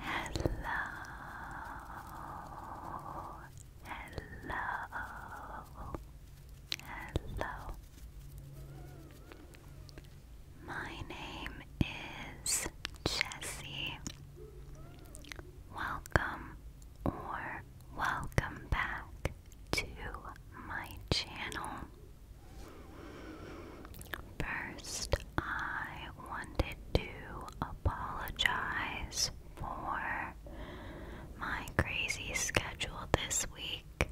Hello, hello, hello. My name is Jessie. Welcome or welcome back to my channel. First, I wanted to apologize for my crazy schedule this week.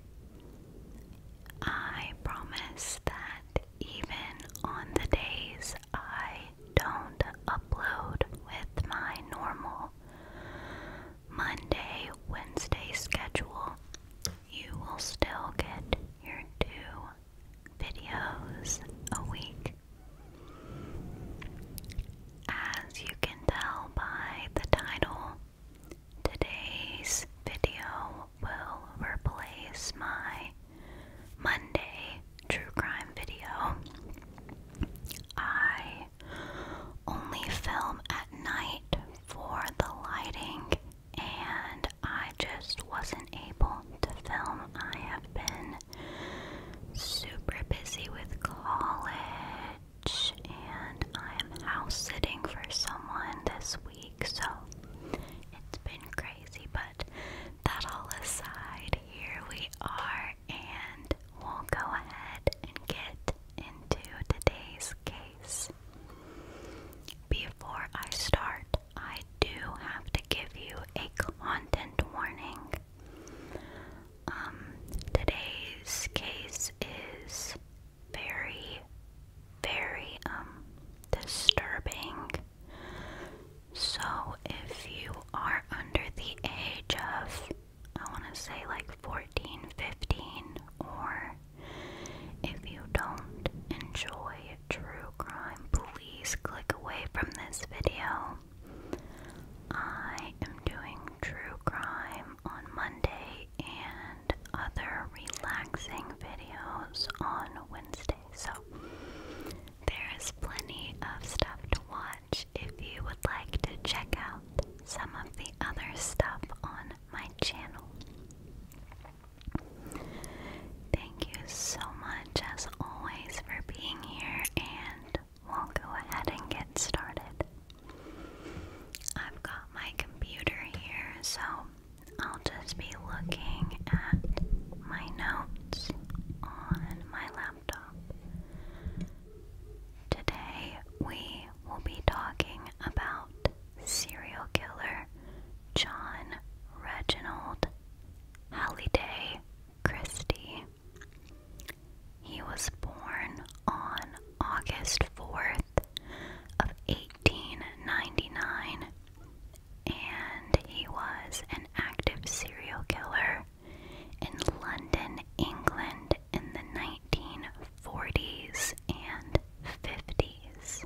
I promise that even on the days I don't upload with my normal Monday, Wednesday schedule, you will still get your two videos a week. As you can tell by the title, today's video will replace my Monday true crime video. I only film at night for the lighting and I just wasn't able to film. I have been super busy with college, and I am house sitting for someone this week, so it's been crazy. But that all aside, here we are, and we'll go ahead and get into today's case. Before I start, I do have to give you a content warning. Um, today's case is very, very, um, disturbing. So if you are under the age of, I want to say like 14, or if you don't enjoy true crime, please click away from this video. I am doing true crime on Monday and other relaxing videos on Wednesday, so there is plenty of stuff to watch if you would like to check out some of the other stuff on my channel. Thank you so much, as always, for being here, and we'll go ahead and get started. I've got my computer here, so I'll just be looking at my notes on my laptop. Today, we will be talking about serial killer John Reginald Halliday Christie. He was born on August 4th of 1899 and he was an active serial killer in London, England in the 40s, and 50s.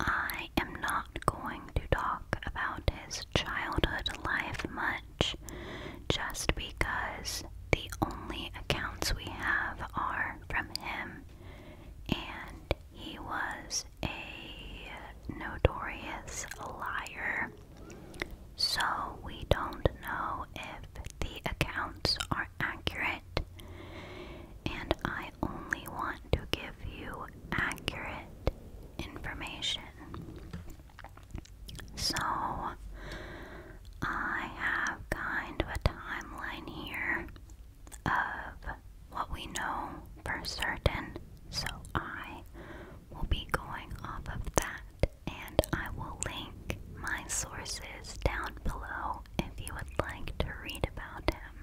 I am not going to talk about his childhood life much just because the only accounts we have are from him, and he was a notorious liar. So, we don't know if the accounts are accurate and I only want to give you accurate information. So, I have kind of a timeline here of what we know for certain, so I will be going off of that and I will link my sources down below if you would like to read about him.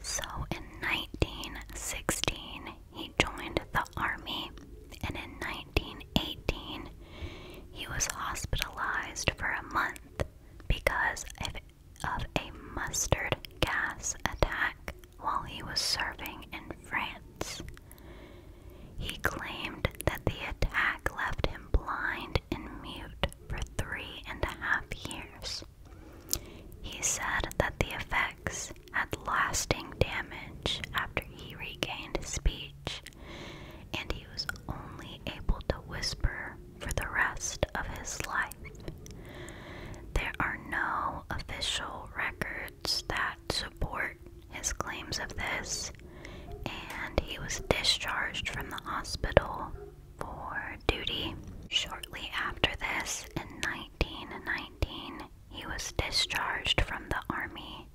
So in 1916, he joined the army, and in 1918, he was hospitalized for a month because of, of a mustard gas attack while he was serving in France. He claimed that the attack left him blind and mute for three and a half years. He said that the effects had lasting damage after he regained speech, and he was only able to whisper for the rest of his life. There are no official records that support his claims of this, and he was discharged from the hospital for duty. Shortly after this, in 1919, he was discharged from the army.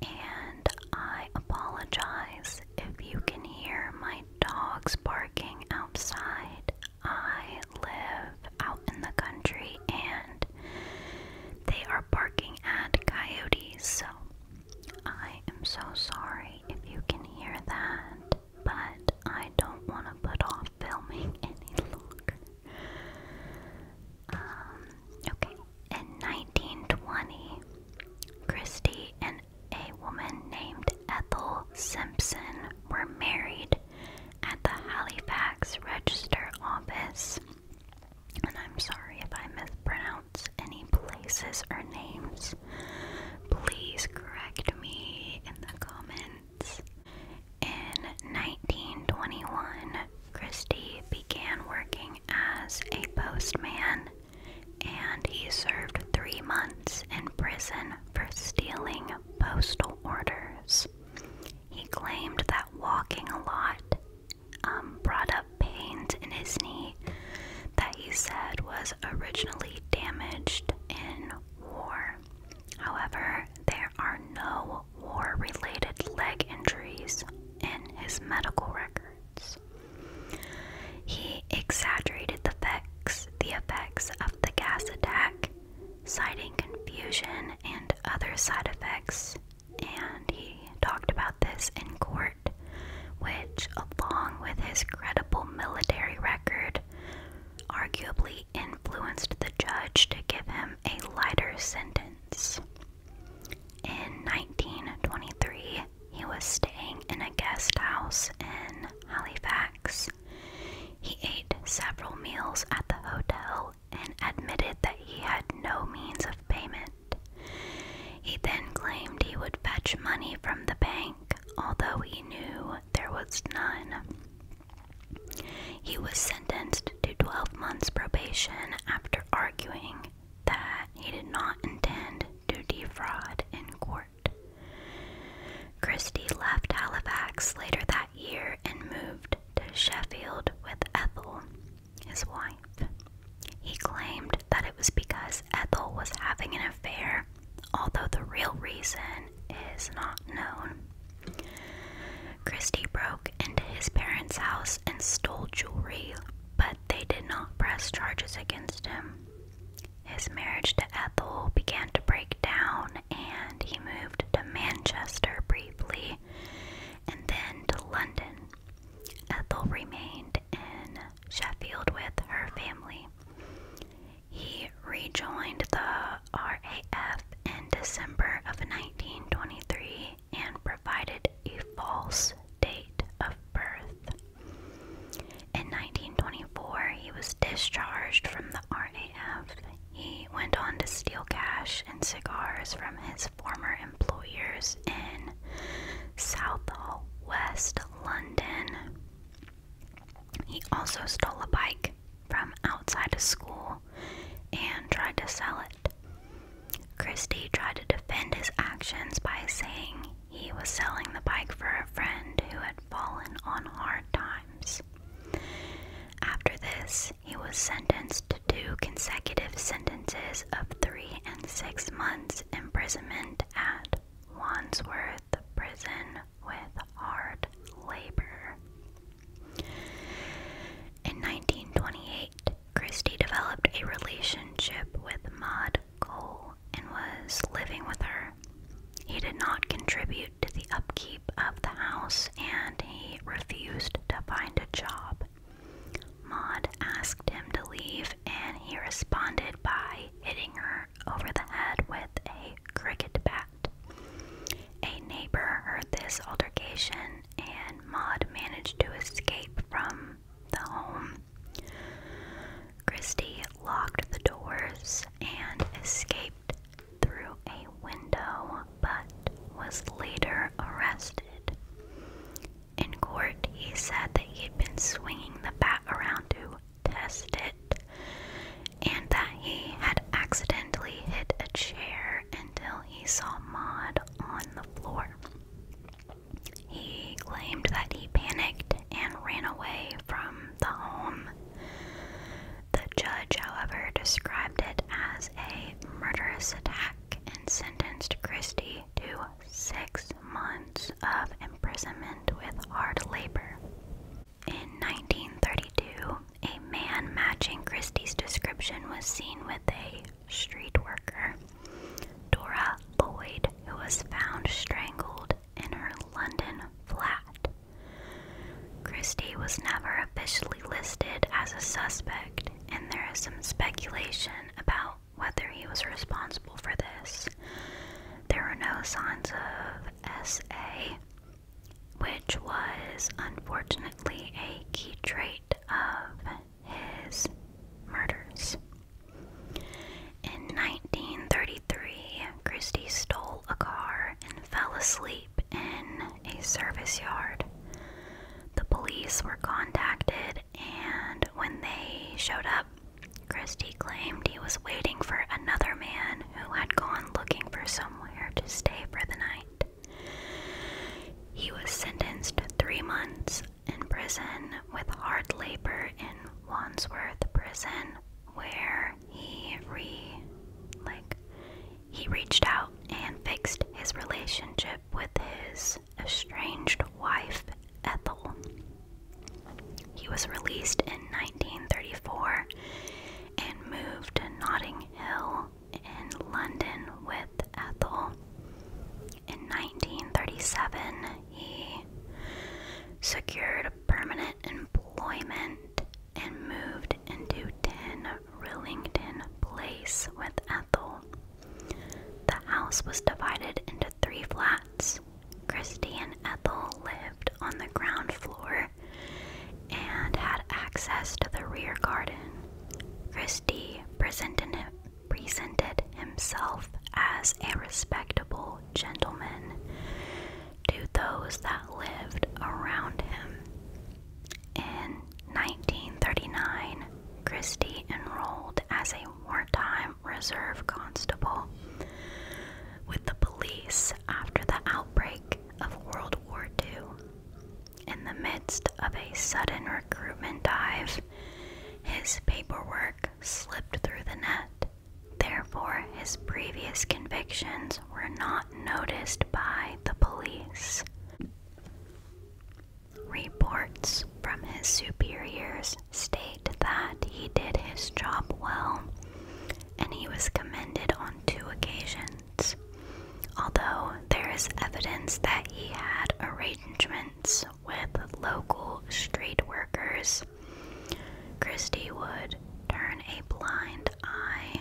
And I apologize if you can hear my dogs barking outside. I live out in the country and they are barking at coyotes. So I am so sorry if you can hear that, but I don't want to put off filming any longer. Um, okay, in 1920, Christie and a woman named Ethel Simpson were married at the Halifax Register Office and I'm sorry if I mispronounce any places or names. Please correct me in the comments. In 1921, Christie began working as a postman and he served three months in prison for stealing postal orders. He claimed that walking a lot um, brought up pains in his knee that he said was originally damaged in war. However, there are no war related leg injuries in his medical records. He exaggerated the effects, the effects of the gas attack, citing confusion and other side effects and he talked about this in court, which, along with his credible military record, arguably influenced the judge to give him a lighter sentence. In 1923, he was staying in a guest house in Halifax. He ate several meals at the hotel and admitted that he had no means of payment. He then claimed he would fetch money from the bank, although he knew there was none. He was sentenced to 12 months probation after arguing that he did not intend to defraud in court. Christie left Halifax later that year and moved to Sheffield with Ethel, his wife. He claimed that it was because Ethel was having an affair, although the real reason is not known. Christie broke into his parents' house and stole jewelry, but they did not press charges against him. His marriage to Ethel began to break down, and he moved to Manchester briefly and then to London Ethel remained in Sheffield with her family. He rejoined the RAF in December of 1923 and provided a false date of birth. In 1924, he was discharged from the RAF. He went on to steal cash and cigars from his former employers in Southall, West London. He also stole a bike from outside a school and tried to sell it. Christie tried to defend his actions by saying he was selling the bike for a friend who had fallen on hard times. After this, he was sentenced to two consecutive sentences of three and six months imprisonment at Wandsworth Prison with hard labor. In 1928, Christie developed a relationship with Maud Cole and was living with her. He did not contribute to the upkeep of the house and he refused to find a job Maud asked him to leave, and he responded by hitting her over the head with a cricket bat. A neighbor heard this altercation, and Maud managed to escape from the home. Christie locked the doors and escaped through a window but was later arrested. In court, he said that he'd been swinging the bat around to test it and that he had accidentally hit a chair until he saw Maud on the floor. He claimed that he panicked and ran away from the home. The judge, however, described it as a murderous attack and sentenced Christie to six months of imprisonment with hard labor. In 1932, a man matching Christie's description was seen with a street worker, Dora Lloyd, who was found strangled in her London flat. Christie was never officially listed as a suspect, and there is some speculation about whether he was responsible for this. There were no signs of SA, which was unfortunately a key trait of his murders. In 1933, Christie stole a car and fell asleep in a service yard. The police were contacted, and when they showed up, Christie claimed he was waiting for another man who had gone looking for somewhere to stay for the night. He was sentenced to three months in prison with hard labor in Wandsworth Prison, where he re like he reached out and fixed his relationship with his estranged wife, Ethel. He was released in 1934 and moved to Notting Hill in London with Ethel. In 1937, he secured permanent employment and moved into 10 Rillington Place with Ethel. The house was divided into three flats. Christie and Ethel lived on the ground floor and had access to the rear garden. Christie presented, presented himself as a respectable gentleman to those that lived around him. In 1939, Christie enrolled as a wartime reserve constable with the police after the outbreak of World War II. In the midst of a sudden recruitment drive, his paperwork slipped through the net. Therefore, his previous convictions were not noticed by the police. Reports from his superiors state that he did his job well and he was commended on two occasions, although there is evidence that he had arrangements with local street workers. Christie would turn a blind eye,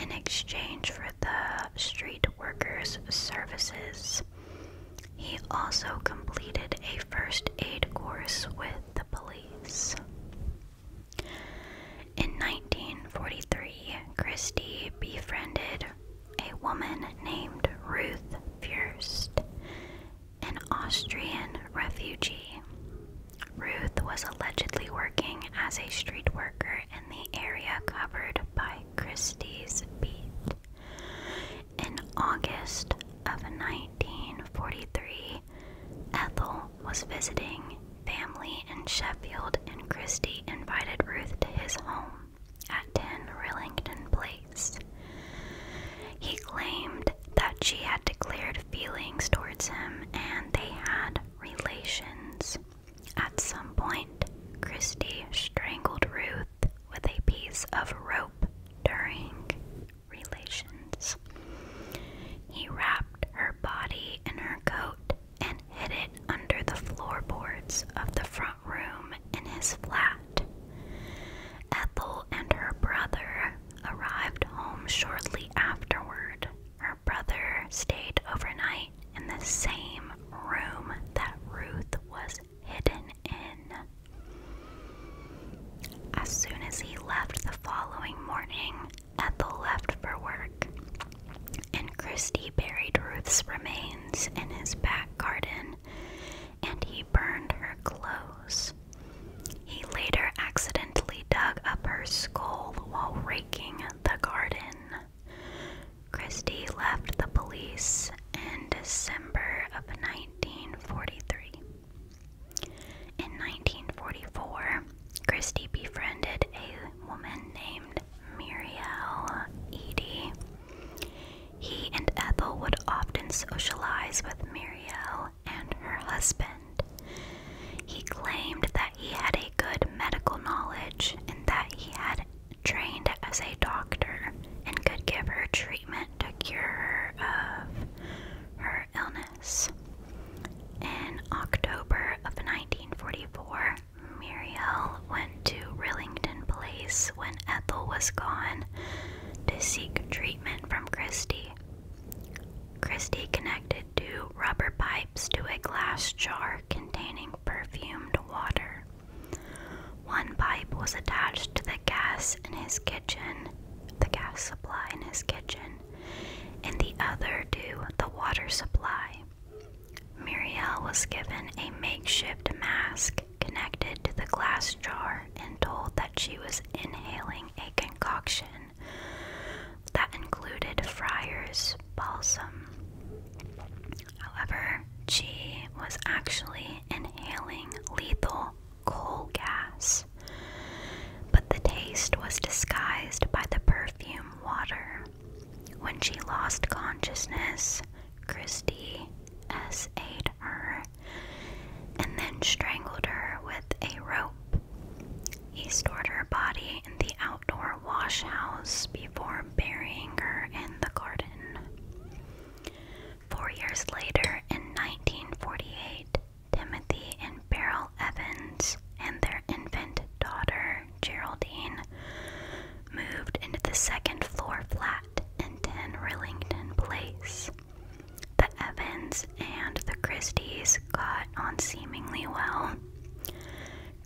in exchange for the Street Workers Services. He also completed a first aid course with the police. In 1943, Christie befriended a woman named Ruth Fürst, an Austrian refugee. Ruth was allegedly working as a street worker in the area covered by Christie's Beat. In August of 1943, Ethel was visiting family in Sheffield, and Christie invited Ruth to his home at 10 Rillington Place. He claimed that she had declared feelings towards him and they had relations. At some point, Christie strangled Ruth with a piece of rope during relations. He wrapped her body in her coat and hid it under the floorboards of the front room in his flat. Ethel and her brother arrived home shortly afterward her brother stayed overnight in the same room that Ruth was hidden in. As soon as he left the following morning, Ethel left for work, and Christie buried Ruth's remains in his back garden and he burned her clothes. He later accidentally dug up her skull while raking the garden. Christie left the police in December of 1943. In 1944, Christie befriended a woman named Muriel Edie. He and Ethel would often socialize with Muriel and her husband. He claimed that he had a good medical knowledge and that he had trained as a doctor and could give her treatment to cure her of her illness. In October of 1944, Muriel went to Rillington Place when Ethel was gone to seek treatment from Christie. Christie connected two rubber pipes to a glass jar containing perfumed water. One pipe was attached to the gas in his kitchen, the gas supply in his kitchen, and the other to the water supply. Muriel was given a makeshift mask connected to the glass jar and told that she was inhaling a concoction that included friars, Balsam. However, she was actually inhaling lethal coal gas, but the taste was disguised by the perfume water. When she lost consciousness, Christie S. her and then strangled her with a rope. He stored her body in the outdoor Washhouse before burying her in the garden. Four years later, in 1948, Timothy and Beryl Evans and their infant daughter, Geraldine, moved into the second floor flat in 10 Rillington Place. The Evans and the Christies got on seemingly well.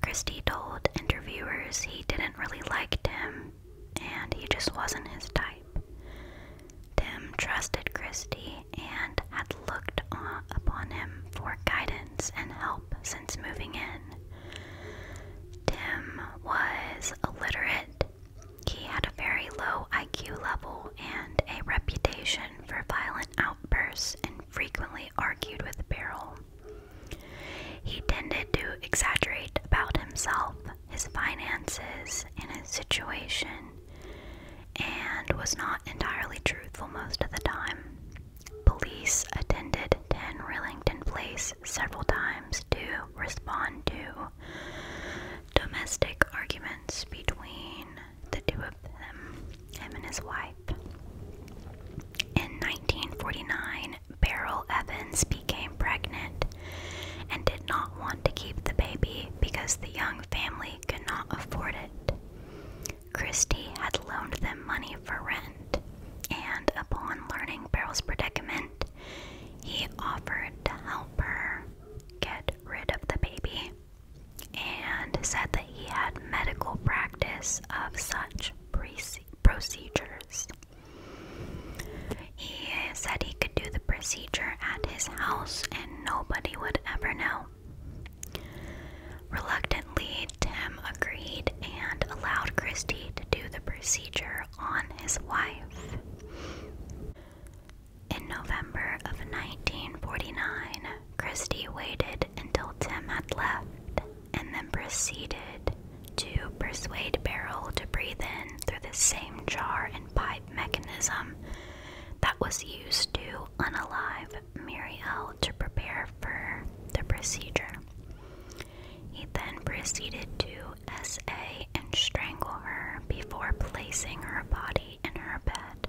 Christie told interviewers he didn't really like Tim and he just wasn't his type. Tim trusted Christie and had looked upon him for guidance and help since moving in. Tim was illiterate. He had a very low IQ level and a reputation for violent outbursts and frequently argued with Beryl. He tended to exaggerate about himself, his finances, and his situation, and was not entirely truthful most of the time. Police attended 10 Rillington Place several times to respond to domestic arguments between the two of them, him and his wife. In 1949, Beryl Evans became pregnant and did not want to keep the baby because the young family could not afford it. Christie had loaned them money for rent, and upon learning Beryl's predicament, he offered to help her get rid of the baby and said that he had medical practice of such procedures. He said he could do the procedure at his house and nobody would ever know. Reluctantly, Tim agreed and allowed Christy to do the procedure on his wife. In November of 1949, Christy waited until Tim had left and then proceeded to persuade Beryl to breathe in through the same jar and pipe mechanism that was used to unalive Muriel to prepare for the procedure. He then proceeded to SA and strangle her before placing her body in her bed.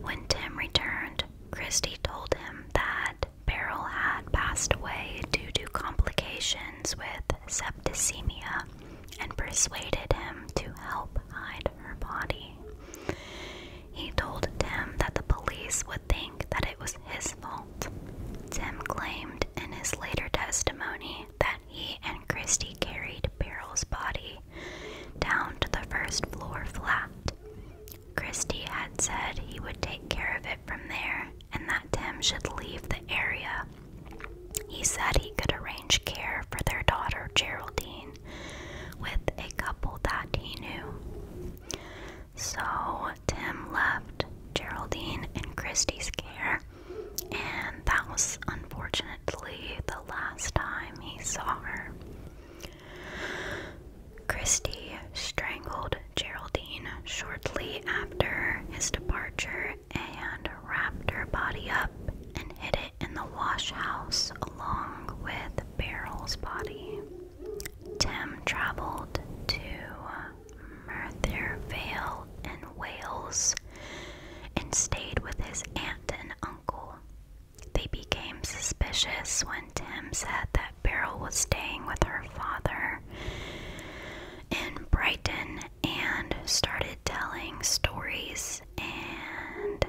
When Tim returned, Christy told him that Beryl had passed away due to complications with septicemia and persuaded him to help hide her body. He told Tim that the police would think that it was his fault. Tim claimed in his later testimony that he and Christy carried Beryl's body down to the first floor flat Christy had said he would take care of it from there and that Tim should leave the area. He said he could arrange care for their daughter Geraldine with a couple that he knew. So Tim left Geraldine in Christy's care, and that was unfortunately the last time he saw her. Christie strangled Geraldine shortly after his departure and wrapped her body up and hid it in the wash house along with Beryl's body. Tim traveled to Merthyr Vale in Wales and stayed with his aunt and uncle. They became suspicious when Tim said that Beryl was staying with her father in Brighton and started telling stories and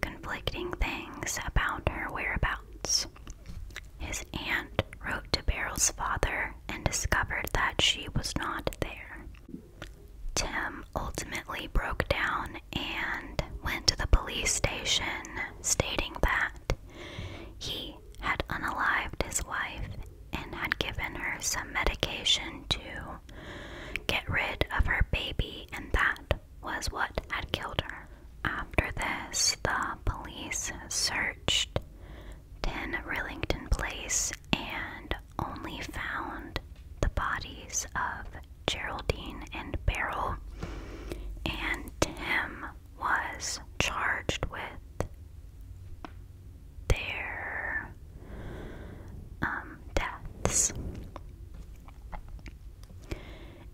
conflicting things about her whereabouts. His aunt wrote to Beryl's father and discovered that she was not there. Tim ultimately broke down and went to the police station stating that he had unalived his wife and had given her some medication to get rid of her baby, and that was what had killed her. After this, the police searched 10 Rillington Place and only found the bodies of Geraldine and Beryl, and Tim was charged with their um, deaths.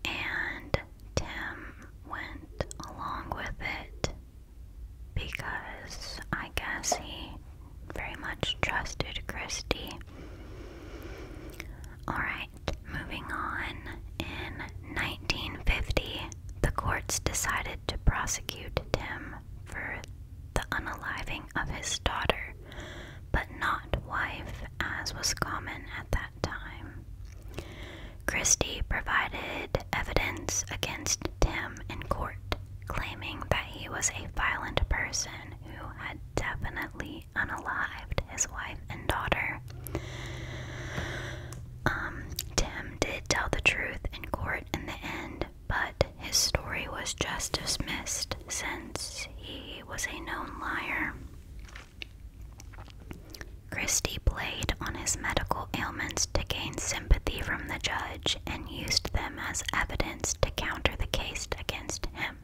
And Tim went along with it because I guess he very much trusted Christy. Alright moving on. In 1950, the courts decided to prosecute Tim for the unaliving of his daughter, but not wife, as was common at that time. Christie provided evidence against Tim in court, claiming that he was a violent person who had definitely permanently his wife and daughter. Um, Tim did tell the truth in court in the end, but his story was just dismissed since he was a known liar. Christie played on his medical ailments to gain sympathy from the judge and used them as evidence to counter the case against him.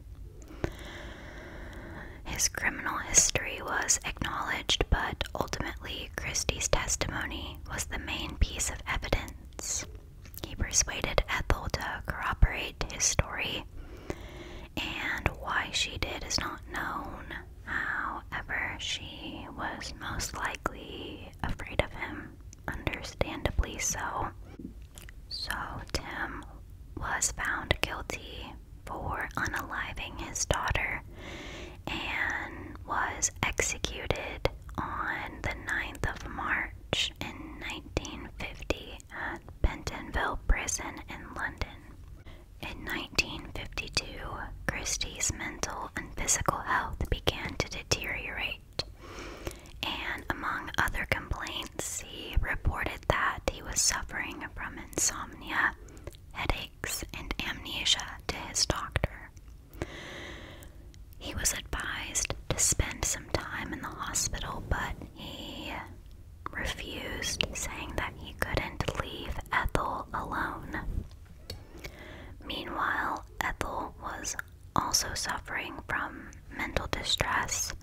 His criminal history was acknowledged, but ultimately, Christie's testimony was the main piece of evidence. He persuaded Ethel to corroborate his story, and why she did is not known. However, she was most likely afraid of him, understandably so. So, Tim was found guilty for unaliving his daughter and was executed on the 9th of March in 1950 at Pentonville Prison in London. In 1952, Christie's mental and physical health began to deteriorate, and among other complaints, he reported that he was suffering from insomnia, headaches, and amnesia to his doctor. He was advised to spend some time in the hospital, but he refused, saying that he couldn't leave Ethel alone. Meanwhile, Ethel was also suffering from mental distress,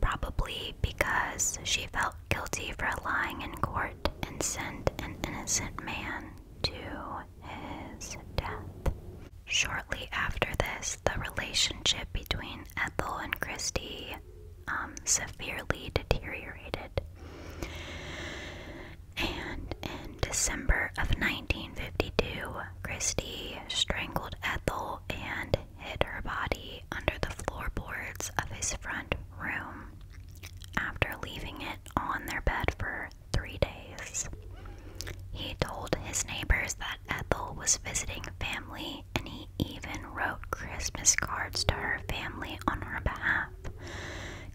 probably because she felt guilty for lying in court and sent an innocent man to his death. Shortly after this, the relationship between Ethel and Christie um, severely deteriorated. And in December of 1952, Christie strangled Ethel and hid her body under the floorboards of his front room after leaving it on their bed for three days. He told his neighbors that Ethel was visiting family and he even wrote Christmas cards to her family on her behalf,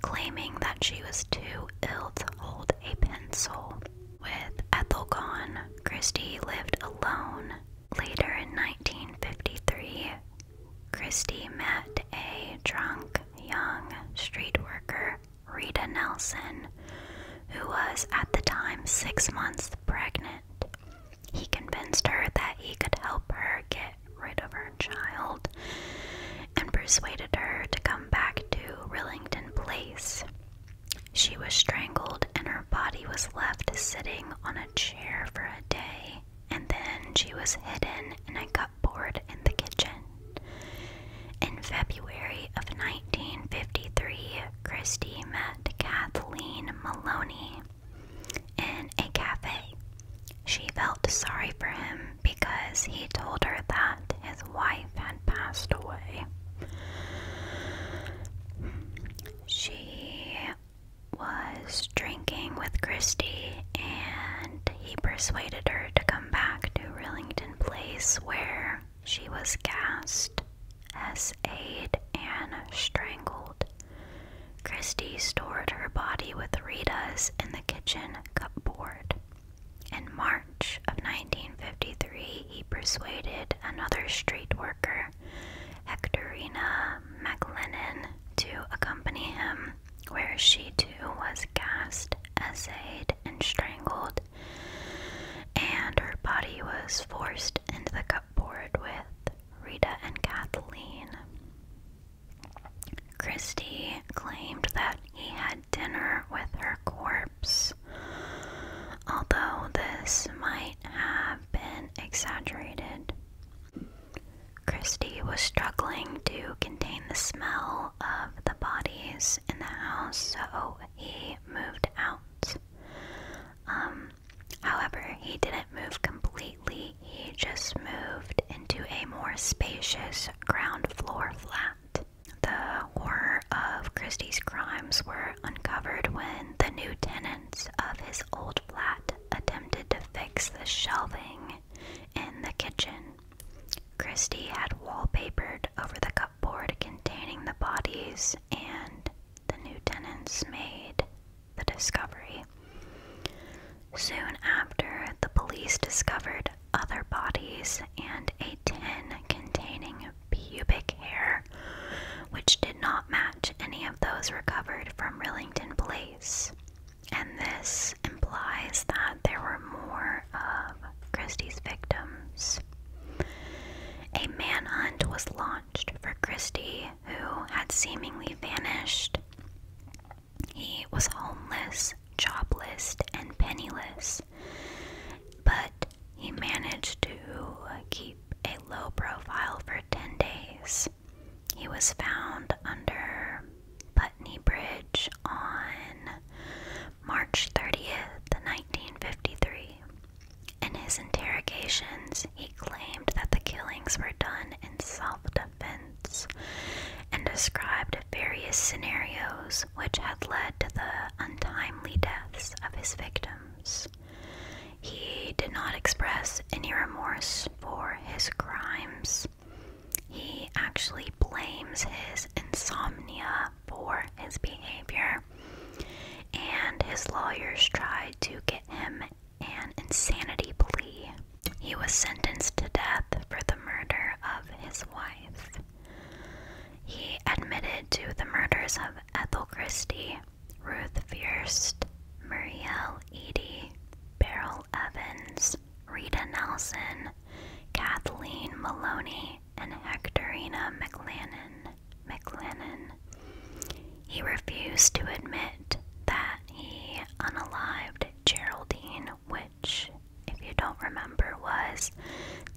claiming that she was too ill to hold a pencil. With Ethel gone, Christie lived alone Later in 1953, Christie met a drunk young street worker, Rita Nelson, who was at the time six months pregnant. He convinced her that he could help her get rid of her child and persuaded her to come back to Rillington Place. She was strangled and her body was left sitting on a chair for a day, and then she was hidden in a cupboard in the kitchen. In February of 1953, Christie met Kathleen Maloney in a cafe. She felt sorry for him because he told her that his wife had passed away. She was drinking with Christy and he persuaded her to come back to Rillington Place where she was cast, as Aid and strangled. Christy stored her body with Rita's in the kitchen cupboard. In March of 1953, he persuaded another street worker Hectorina MacLennan to accompany him, where she too was gassed, essayed, and strangled, and her body was forced into the cupboard with Rita and Kathleen. Christie claimed that he had dinner with her corpse, although this might have been exaggerated. Christie was struggling to contain the smell of the bodies in the house, so he moved out. Um, however, he didn't move completely, he just moved into a more spacious ground floor flat. The horror of Christie's crimes were uncovered when the new tenant of his old flat attempted to fix the shelving in the kitchen. Christie had wallpapered over the cupboard containing the bodies, and the new tenants made the discovery. Soon after, the police discovered other bodies and a tin containing pubic hair which did not match any of those recovered from Rillington Place. And this implies that there were more of Christie's victims. A manhunt was launched for Christie, who had seemingly vanished. He was homeless, jobless, and penniless, but he managed to keep a low profile for 10 days. He was found under Putney Bridge on March 30th, 1953. In his interrogations, he claimed that the killings were done in self defense and described various scenarios which had led to the untimely deaths of his victims. He did not express any remorse for his crimes. He actually blames his insomnia for his behavior, and his lawyers tried to get him an insanity plea. He was sentenced to death for the murder of his wife. He admitted to the murders of Ethel Christie Ruth Fierst, Muriel Edie, Beryl Evans, Rita Nelson, Kathleen Maloney, and Hectorina McLennan. McLennan. He refused to admit that he unalived Geraldine, which, if you don't remember, was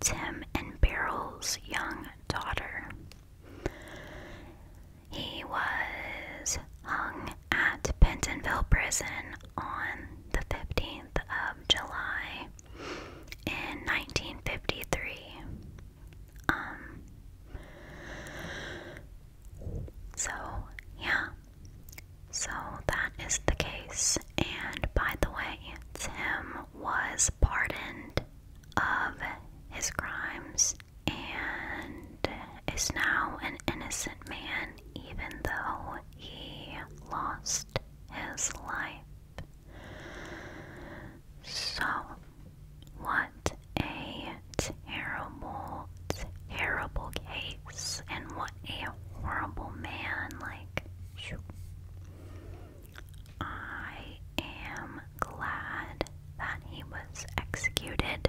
Tim and Beryl's young daughter. He was hung at Pentonville Prison on the 15th of July in 1953. Um, so, yeah. So that is the case. And by the way, Tim was pardoned of his crimes and is now an innocent man, even though he lost his life. So, what a terrible, terrible case, and what a horrible man. Like, I am glad that he was executed.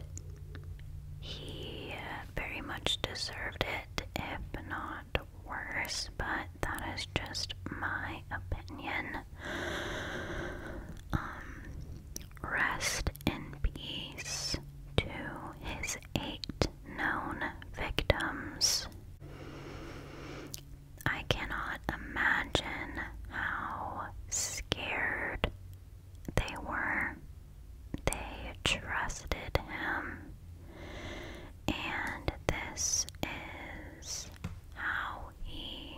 He very much deserved it, if not worse, but that is just my opinion. Um, rest in peace to his eight known victims. I cannot imagine how scared they were. They trusted him, and this is how he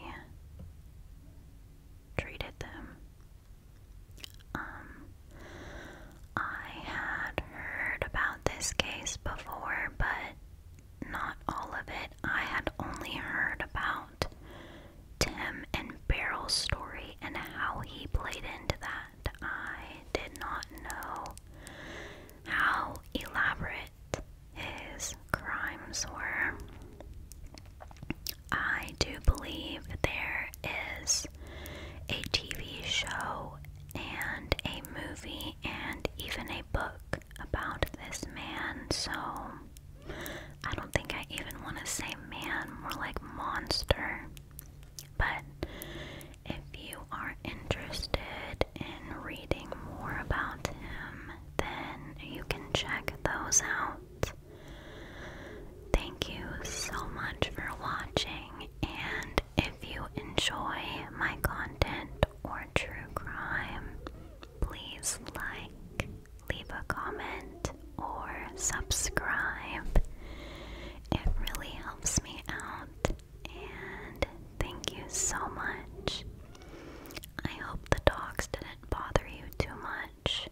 treated them. Um, I had heard about this case before, but not all of it. I had only heard about Tim and Beryl's story and how he played into that. I did not know how elaborate his crimes were. I do believe there is a TV show and a movie and even a book about this man, so I don't think I even want to say man, more like monster. But if you are interested in reading more about him, then you can check those out. Thank you so much for watching, and if you enjoy my content or true crime, please like, leave a comment, or subscribe. It really helps me out, and thank you so much. I hope the dogs didn't bother you too much.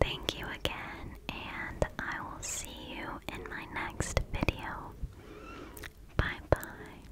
Thank you again, and I will see you in my next video. Bye bye.